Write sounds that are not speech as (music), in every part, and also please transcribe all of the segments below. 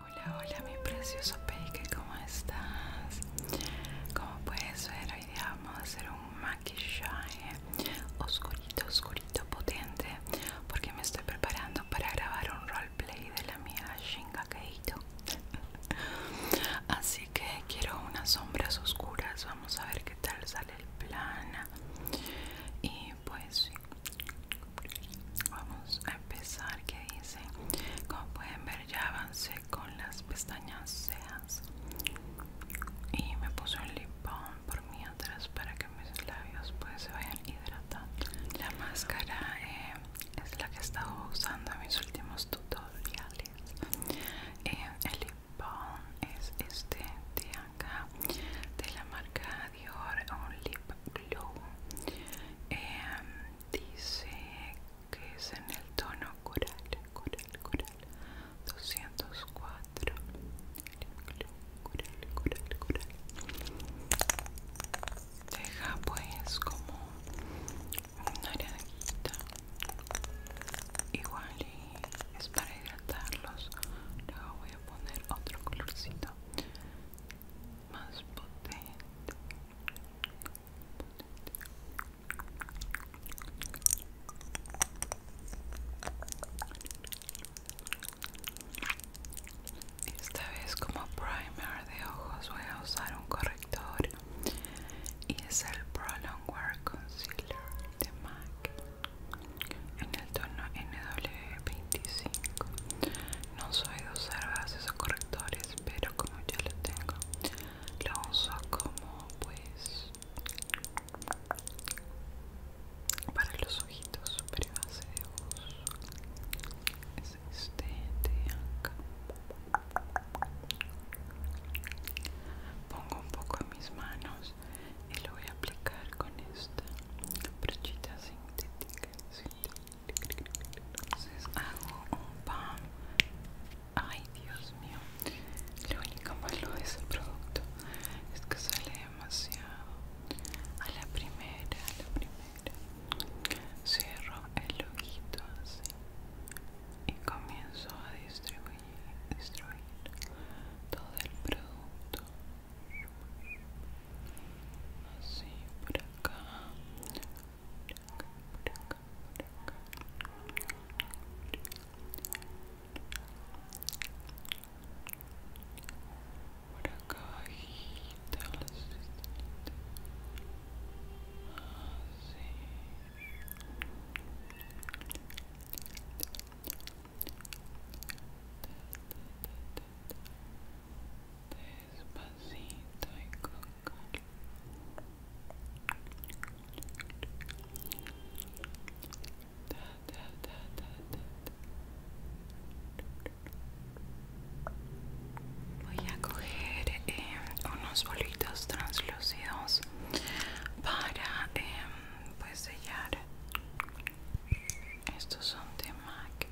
Hola, hola mi precioso peque, ¿cómo estás? Como puedes ver, hoy vamos a hacer un maquillaje oscurito, oscurito, potente, porque me estoy preparando para grabar un rol Play de la amiga Shinga Keito. Así que quiero unas sombras oscuras. Vamos a ver qué tal sale el plan. Y pues vamos a empezar. Que dice, Como pueden ver, ya avancé con las pestañas cejas. Y me puse un lip por mi atrás para que mis labios pues se vayan hidratando. La máscara. Eh, es la que he estado usando en mis últimos tutoriales em, el lip balm es este de acá de la marca Dior un lip glow em, dice que es en el tono coral coral coral 204 coral deja pues como quita igual y es para hidratarlos luego voy a poner otro colorcito más potente esta vez como primer de ojos voy a usar un corrector y es el Long Wear Concealer de MAC en el tono NW25. No soy de usar bases o correctores, pero como ya lo tengo, lo uso como pues para los ojitos, super base de ojos de acá. Pongo un poco en mis manos y lo voy a aplicar con esta brochita sintética. Entonces hago un pam Ay, Dios mío. Lo único malo de ese producto es que sale demasiado. a la primera. Cierro el ojito así y comienzo a distribuir, distribuir todo el producto. Así por Por acá por acá bajita las así despacito y con calma Ta, ta, ta, ta, ta, ta. Voy a coger eh, unos bolitos translúcidos para em, pues, sellar. Estos son de MAC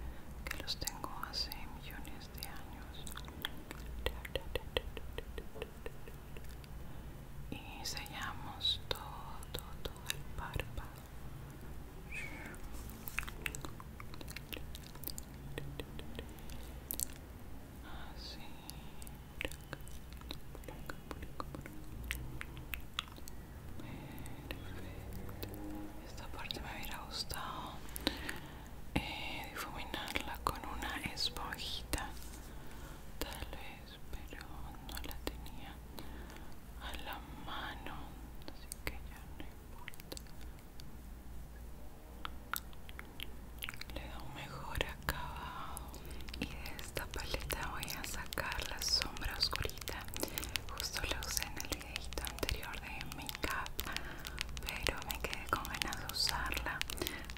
que los tengo hace millones de años. Y sellamos todo, todo el párpado esta parte me hubiera gustado eh, difuminarla con una esponjita, tal vez, pero no la tenía a la mano, así que ya no le da un mejor acabado y de esta paleta voy a sacar la sombra oscurita justo la usé en el videito anterior de makeup pero me quedé con ganas de usarla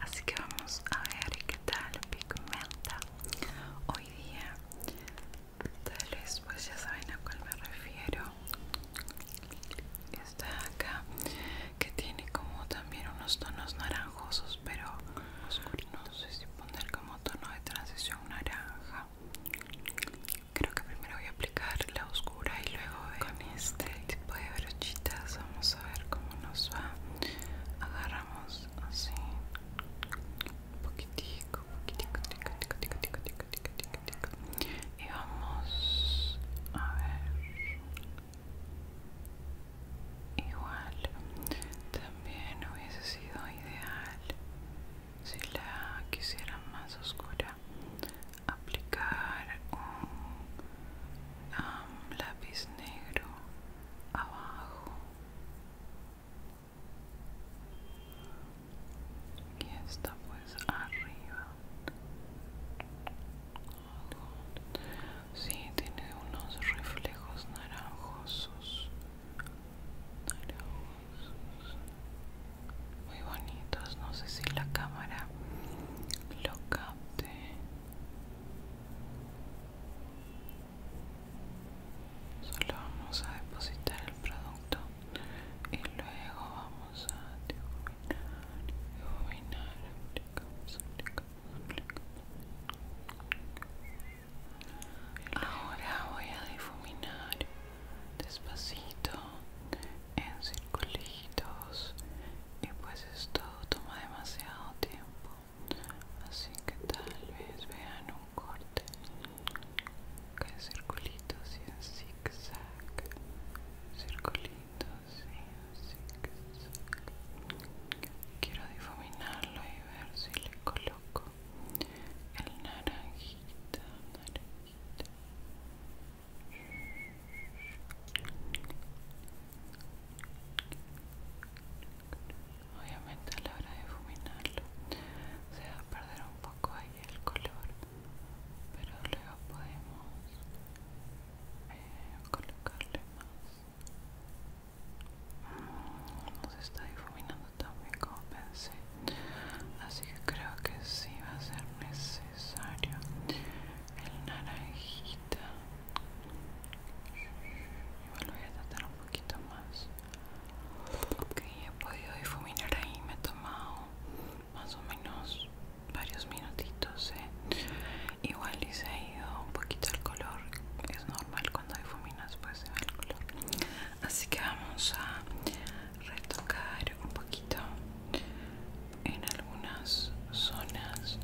así que vamos a ver qué tal pigmenta hoy día tal vez pues ya saben a cuál me refiero está acá que tiene como también unos tonos naranjosos pero no sé si poner como tono de transición naranja creo que primero voy a aplicar la oscura y luego con este, este tipo de brochitas vamos a ver cómo nos va agarramos así un poquitito y vamos a ver. Igual también hubiese sido ideal si la quisiera más oscura aplicar un um, lápiz negro abajo y está pues arriba si tiene unos reflejos naranjosos naranjosos muy bonitos no sé si la cámara lo capte solo vamos a depositar el producto y luego vamos vamos a difuminar, difuminar, Ahora voy a difuminar despacito, en circulitos, y pues esto toma demasiado tiempo, así que tal vez vean un corte zig y en zigzag, y en zigzag. Quiero difuminarlo y ver si le coloco el naranjita, naranjita. Obviamente a la hora de difuminarlo se va a perder un poco ahí el color pero luego podemos eh, colocarle más ah, no se está difuminando tan bien como pensé así que creo que sí va a ser necesario el naranjita igual voy a tratar un poquito más ok he podido difuminar ahí me he tomado más o menos varios minutitos ¿eh? igual y se ha ido un poquito el color es normal cuando difuminas pues se el color así que vamos a retocar un poquito en algunas zonas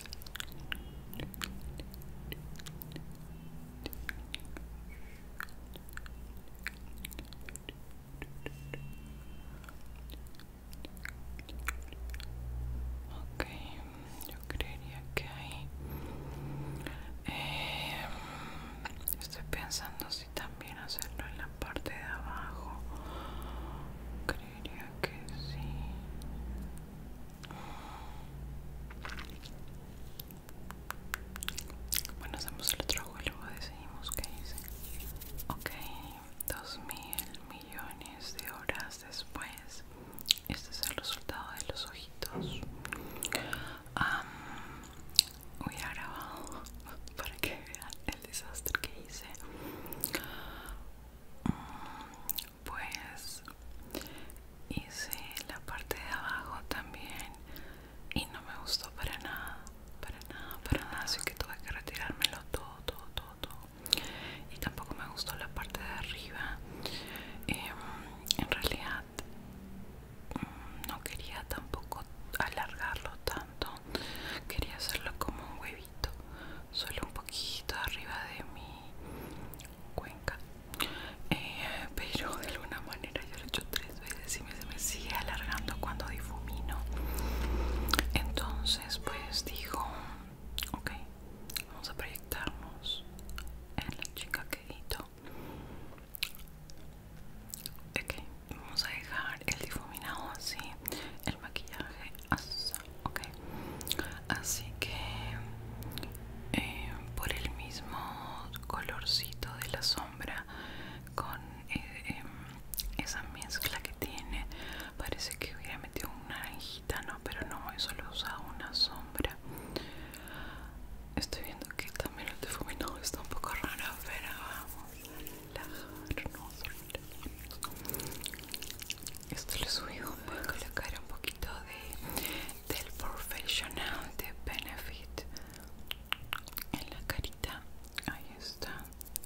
Ok, yo creería que ahí eh, estoy pensando si también hacerlo en la parte de abajo. Creería que sí. Bueno, hacemos el otro trabajo y luego decidimos qué hice. Ok, dos mil millones de horas después. Este es el resultado de los ojitos. voy a grabar (laughs) para que vean el desastre que hice pues hice la parte de abajo también y no me gustó para nada para nada para nada así que tuve que retirármelo todo todo todo, y tampoco me gustó la parte de arriba em, en realidad mm, no quería tampoco alargarlo tanto quería hacerlo como un huevito solo un poquito arriba de mi Cuenca eh, pero de alguna manera yo lo he hecho tres veces y me, se me sigue alargando cuando difumino entonces pues dijo, ok vamos a proyectarnos en la chica que ok vamos a dejar el difuminado así el maquillaje así ok así que eh, por el mismo colorcito de la sombra con eh, em, esa mezcla que tiene parece que hubiera metido una naranjita no pero no eso lo usado una sombra estoy viendo que también el difuminado está un poco raro pero vamos a relajarnos esto lo subí subido voy a colocar un poquito de del profesional de benefit en la carita ahí está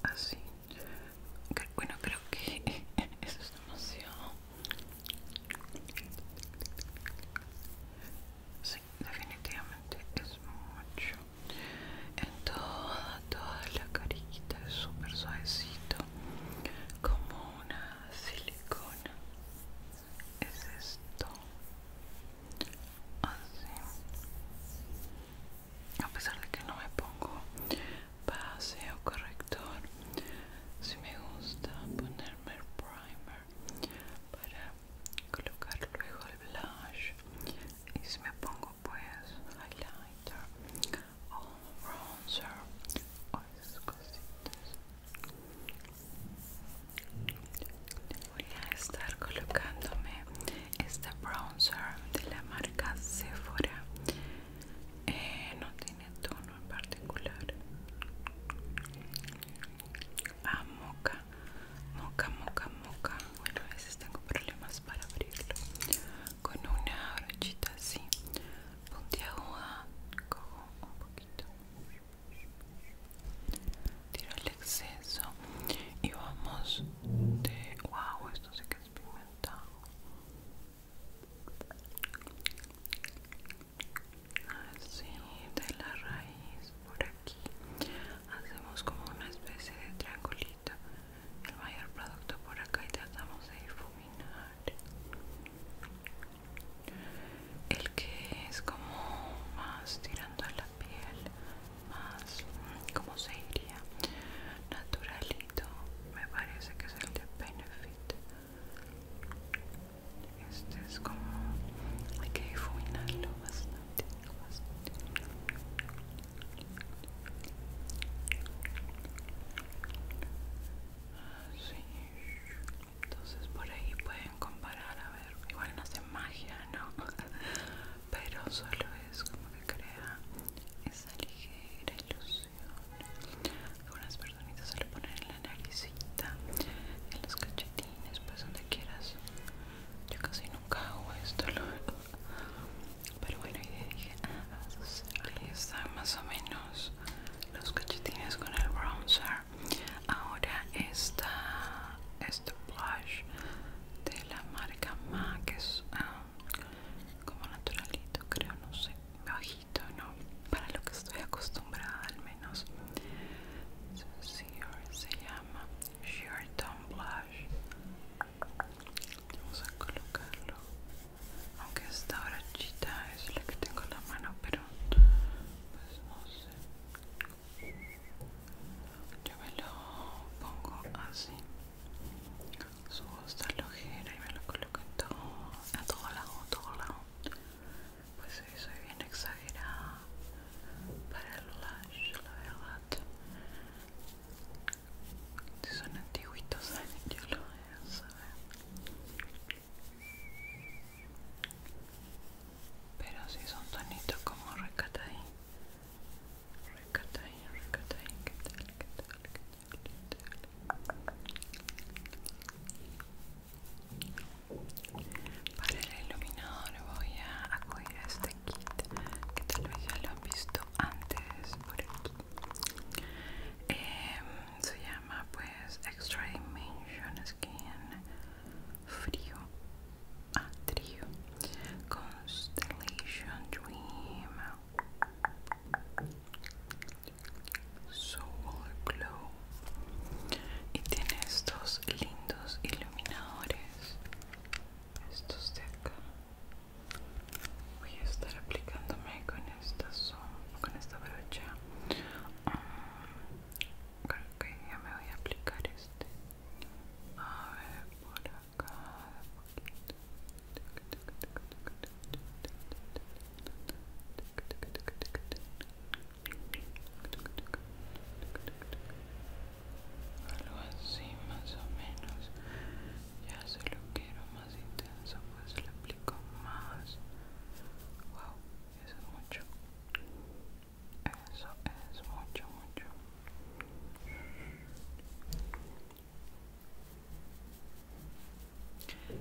así bueno creo que (laughs) eso es demasiado sí definitivamente es mucho en toda toda la carita es súper suavecito como una silicona es esto así ah, a pesar de que no me pongo base o corrector si me gusta ponerme primer para colocar luego el blush y si me pongo pues highlighter o bronzer o esas cositas Voy a estar colocándome este bronzer de la marca Sephora. Eh, no tiene tono en particular. Ah, moca, moca, moca, moca. Bueno, a veces tengo problemas para abrirlo. Con una brochita así, puntiaguda, cojo un poquito tiro el exceso y vamos de wow esto se que es así de la raíz por aquí hacemos como una especie de triangulito el mayor producto por acá y tratamos de difuminar el que es como más tirando a la piel más como se naturalito me parece que es el de benefit este es como hay que difuminarlo bastante, bastante. Ah, entonces por ahí pueden comparar a ver igual no hace magia no (laughs) pero solo es como que crea esa ligera ilusión algunas personitas se lo ponen en la naricita en los cachetines pues donde quieras yo casi nunca hago esto pero bueno y dije ah, están más o menos los cachetines con el bronzer Ahora está este blush de la marca MAC, que es ah, como naturalito, creo, no sé, bajito, ¿no? Para lo que estoy acostumbrada al menos. se llama Tone Blush. Vamos a colocarlo. Aunque esta brochita es la que tengo en la mano, pero pues no sé yo me lo pongo así subo esta lojera y me lo coloco en todo a todo lado a todo lado pues sí soy bien exagerada para el lash la verdad si son antiguitos yo lo pero si son tonitos como recataí. Recataí, recataí. Para el iluminador voy a acudir a este kit que tal vez ya lo han visto antes por aquí. Em, se llama pues Extra Dimension Skin Frío Ah, trío Constellation Dream Soul Glow y tiene estos lindos iluminadores estos de acá voy a estar aplicándome con esta, con esta brocha Ah, okay, ya me voy a aplicar este a ver por acá algo así más o menos ya se lo quiero más intenso pues le aplico más wow eso es mucho eso es mucho mucho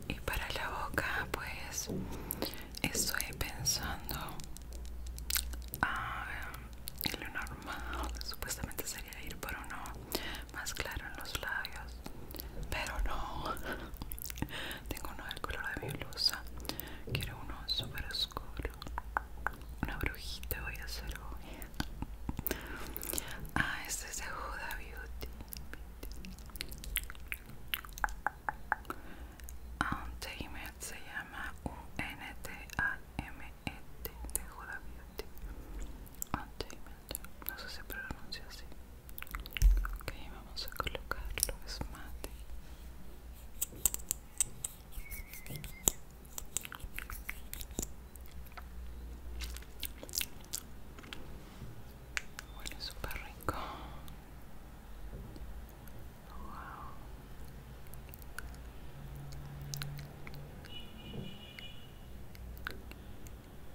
y para la boca pues estoy pensando ah, en lo normal supuestamente sería ir por uno más claro en los labios pero no tengo uno del color de mi Quiero uno súper oscuro. Una brujita voy a hacer hoy. (laughs) Ah, este es de Huda Beauty. Untamed se llama U-N-T-A-M-E-T e de Huda Beauty. No sé si se pronuncia así. Ok, vamos a colocar es mate. Huele súper rico. Wow.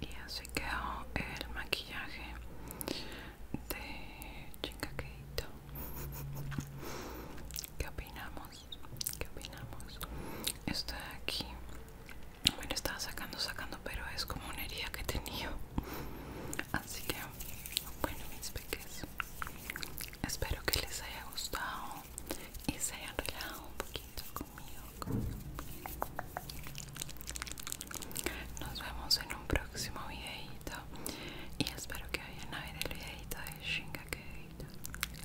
Y así quedó el maquillaje de Chica (laughs) ¿Qué opinamos? ¿Qué opinamos? Esto aquí bueno, estaba sacando, sacando, pero es como una herida que tenía. (laughs) Así que, bueno, mis peques, espero que les haya gustado y se hayan relajado un poquito conmigo. Nos vemos en un próximo videito y espero que vayan a ver el videito de Shinga que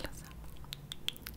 Los amo.